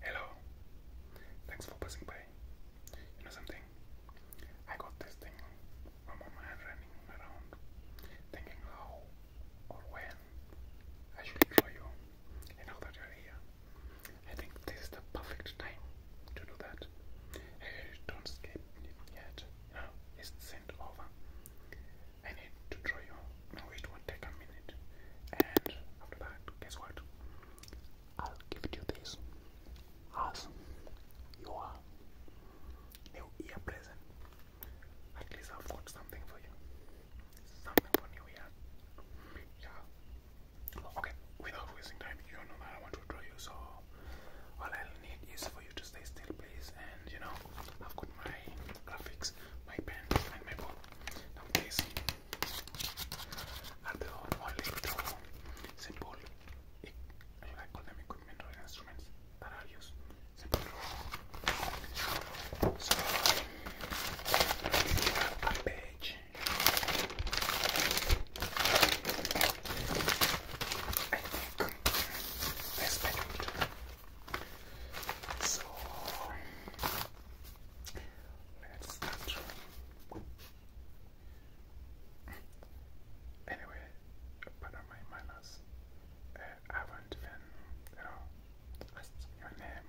Hello. Thanks for passing by. You know something? I got this thing from my man running around thinking how or when I should show you. And now that you're here, I think this is the perfect time to do that. Hey, don't skip it yet. it's sent over. I need to draw you. No, it won't take a minute. And after that, guess what? I'll give you this as your new year present. At least I've got something for you. Something for new Yeah. Okay, without wasting time, you know that I want to draw you, so all i need is for you to stay still place and you know I've got my graphics, my pen and my book. Now these are the only two simple I call them equipment or instruments that are used. So a page. I think this page so let's start. Anyway, pardon my manners. Uh, I haven't even, you know, asked your name.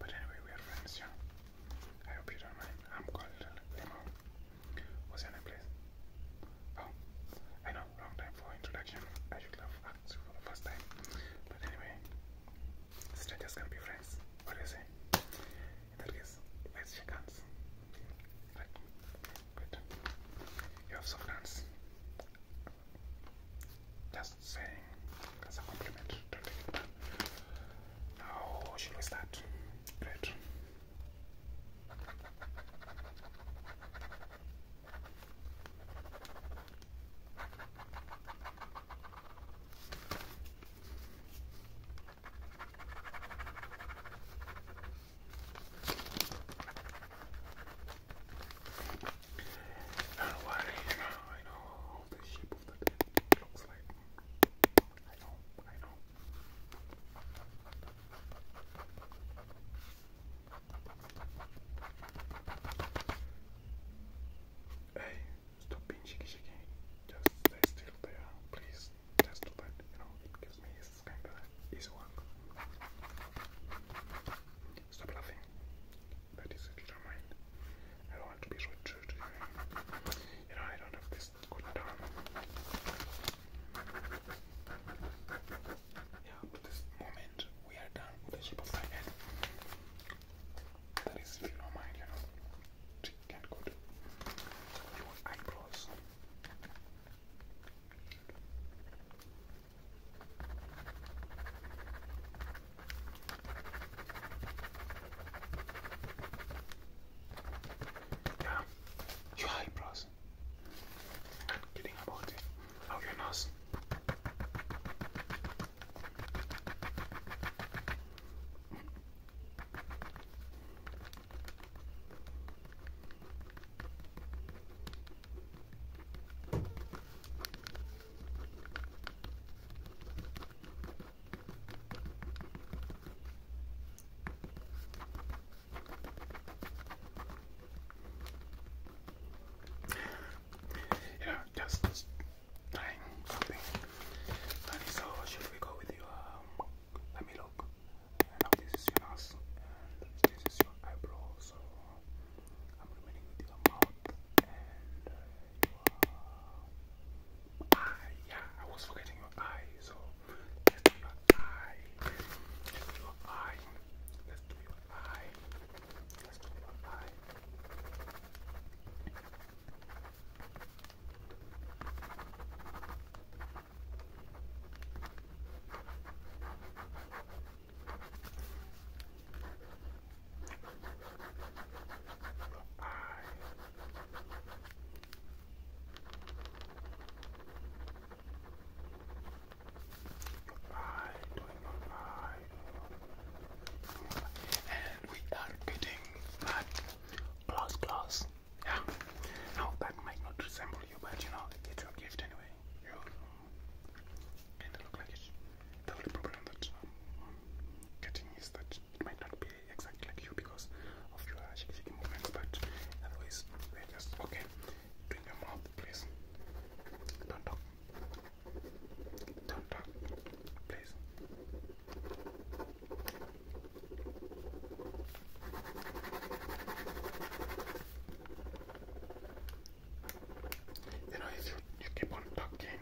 But anyway, we are friends, yeah. I hope you don't mind. I'm called Limo. What's your name, please? Oh, I know long time for introduction. I should love Aksu for the first time. But anyway, strangers can be friends. What do you say? In that case, let You have soft hands. Just saying as a compliment. Don't take it back. Now, should we start? Great. I don't know why, you know, I know how the shape of the looks like. I know, I know. Hey, stop being shaky shaky. Just stay still there, please. Just do that, you know, it gives me this kind of easy work. Stop laughing. That is it, do mind. I don't want to be rude You know, I don't have this yeah, at this moment we are done with the shape of my head. That is, if you don't mind, you know, it can go to your eyebrows. Yeah, your eyebrows. Kidding about it. Now your you know, just trying so, should we go with you? Um, let me look. Now this is your nose, and this is your eyebrow. So I'm remaining with your mouth uh, eye. Yeah, I was forgetting your eye, let's do your eye. Let's do your eye. Let's do your eye. Let's do your eye. I I doing my eye. And we are getting that Yeah. Now that might not resemble you, but you know, it's your gift anyway. You kind look like it. The only problem that I'm much. It might not be exactly like you because of your shaky shaky movements, but otherwise they're just okay. Doing your mouth, please. Don't talk. Don't talk, please. You know, you, keep on talking,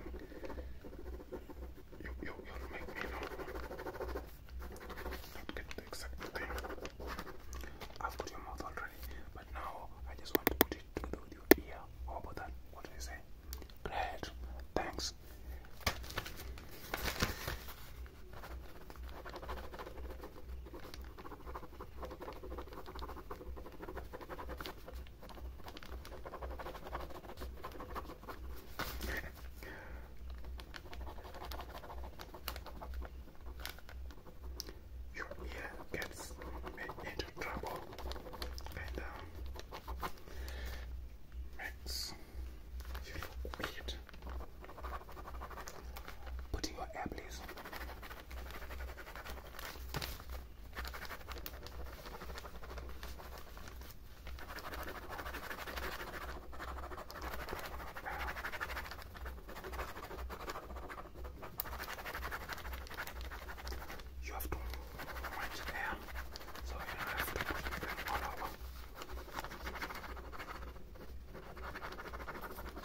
you, you, you make me not, not get the exact thing. I've got your mouth already, but now I just want to put it together your ear. How that? What do you say? Great, thanks. Your ear gets into trouble and um, you look weird. Put your ear, please. You have too much hair, so you have to put them all over.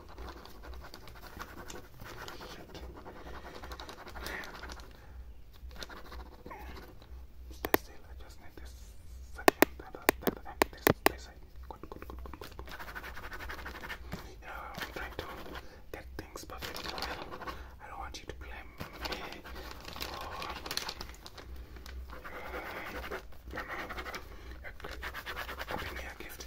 I am trying to get things perfect. I don't want you to blame me for uh, no, no, no, no,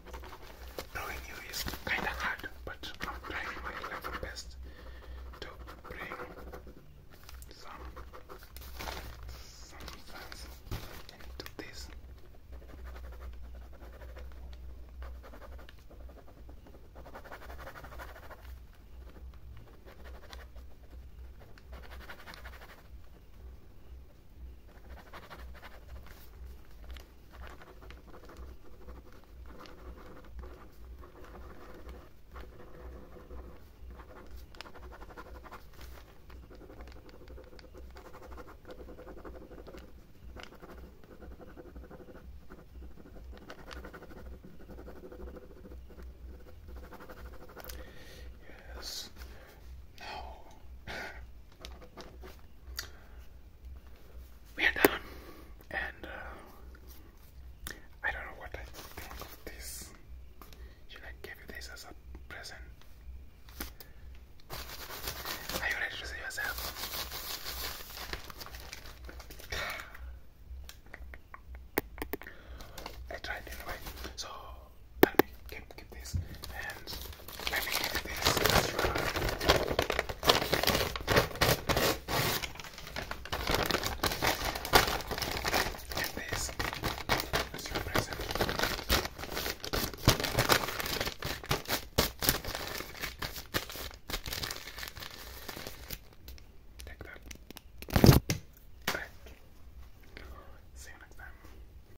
Knowing you is kind of hard, but I'm trying my level best to bring some some sense into this. Yes. No and uh, I don't know what I think of this. Should I give you this as a present? Are you ready to see yourself? I tried anyway, so let keep this and let me keep this Get this as your present. Take that. Right. See you next time.